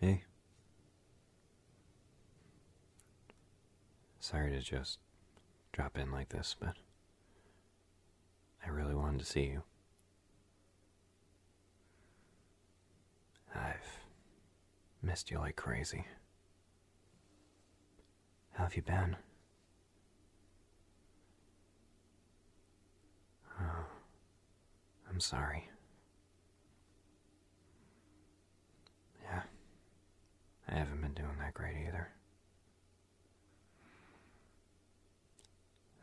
Hey. Sorry to just drop in like this, but I really wanted to see you. I've missed you like crazy. How have you been? Oh. I'm sorry. Yeah, I haven't been doing that great either.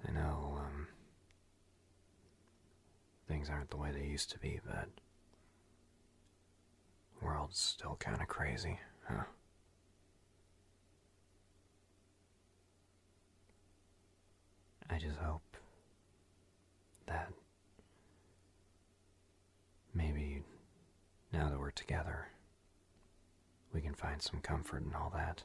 I know, um, things aren't the way they used to be, but the world's still kind of crazy, huh? I just hope that maybe now that we're together, we can find some comfort in all that.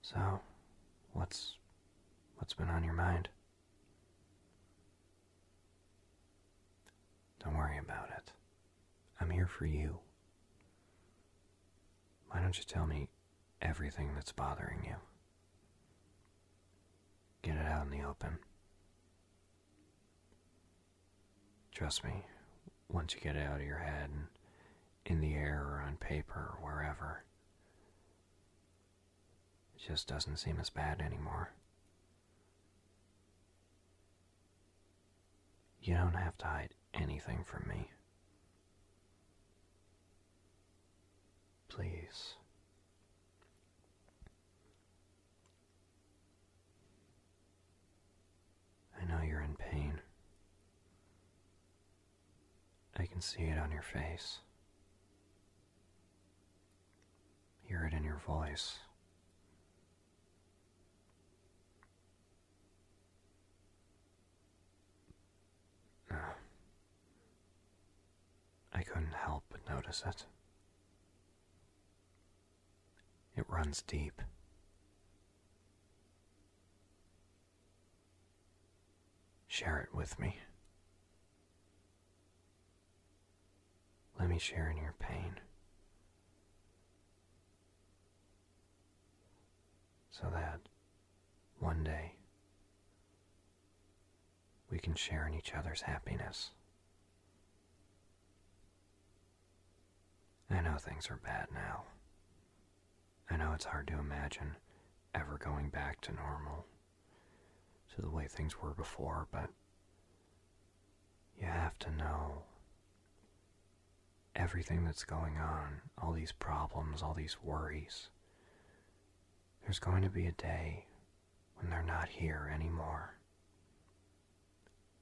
So, what's what's been on your mind? Don't worry about it. I'm here for you. Why don't you tell me everything that's bothering you? Get it out in the open. Trust me, once you get it out of your head and in the air or on paper or wherever, it just doesn't seem as bad anymore. You don't have to hide anything from me. Please. I know you're in pain. I can see it on your face. Hear it in your voice. I couldn't help but notice it. It runs deep. Share it with me. Let me share in your pain so that one day we can share in each other's happiness. I know things are bad now. I know it's hard to imagine ever going back to normal, to the way things were before, but you have to know everything that's going on, all these problems, all these worries. There's going to be a day when they're not here anymore.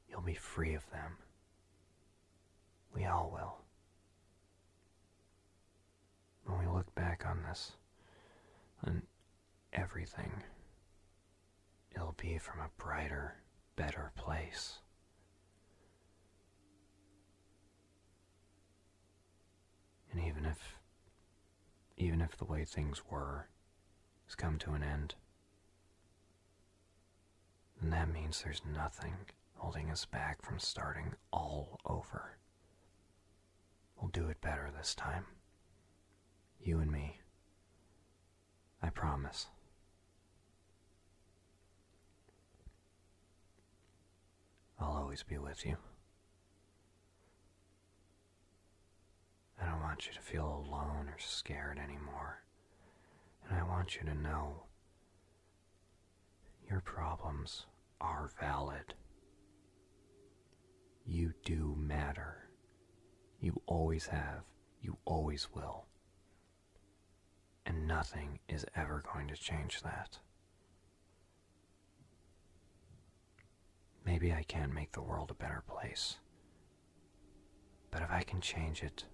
You'll be free of them. We all will. When we look back on this, on everything. It'll be from a brighter, better place. And even if, even if the way things were has come to an end, then that means there's nothing holding us back from starting all over. We'll do it better this time. You and me. I promise. I'll always be with you. I don't want you to feel alone or scared anymore. And I want you to know your problems are valid. You do matter. You always have. You always will. And nothing is ever going to change that. Maybe I can not make the world a better place. But if I can change it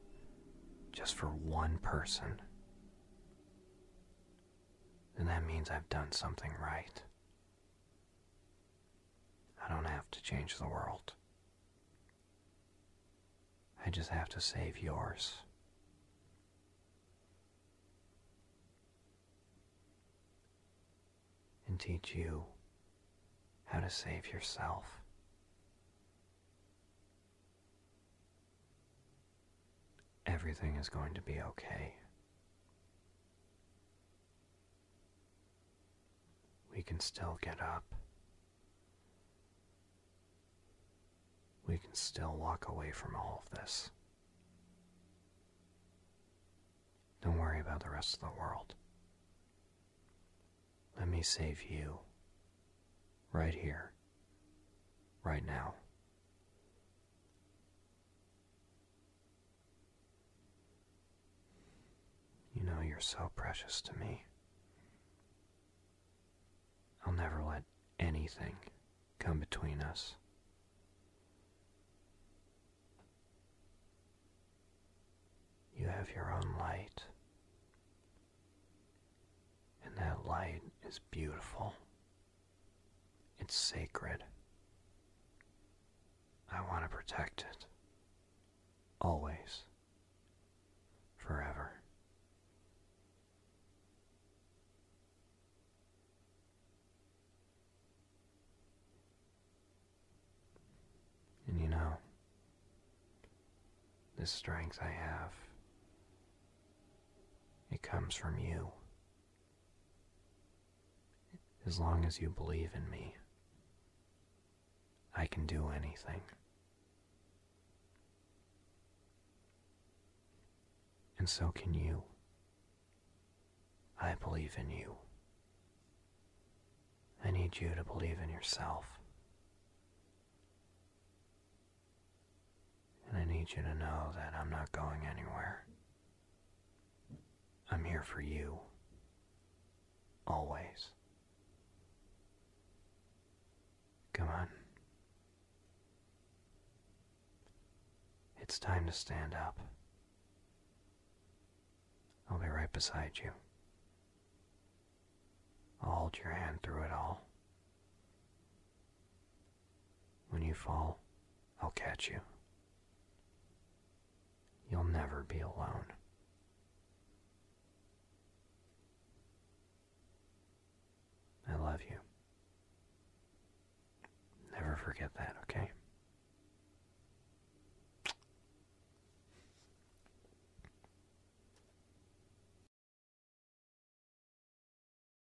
just for one person, then that means I've done something right. I don't have to change the world. I just have to save yours. And teach you how to save yourself. Everything is going to be okay. We can still get up. We can still walk away from all of this. Don't worry about the rest of the world. Let me save you. Right here. Right now. You know you're so precious to me. I'll never let anything come between us. You have your own light, and that light is beautiful it's sacred. I want to protect it. Always. Forever. And you know, this strength I have, it comes from you. As long as you believe in me, I can do anything. And so can you. I believe in you. I need you to believe in yourself. And I need you to know that I'm not going anywhere. I'm here for you. Always. Come on. It's time to stand up. I'll be right beside you. I'll hold your hand through it all. When you fall, I'll catch you. You'll never be alone. I love you. Never forget that, okay?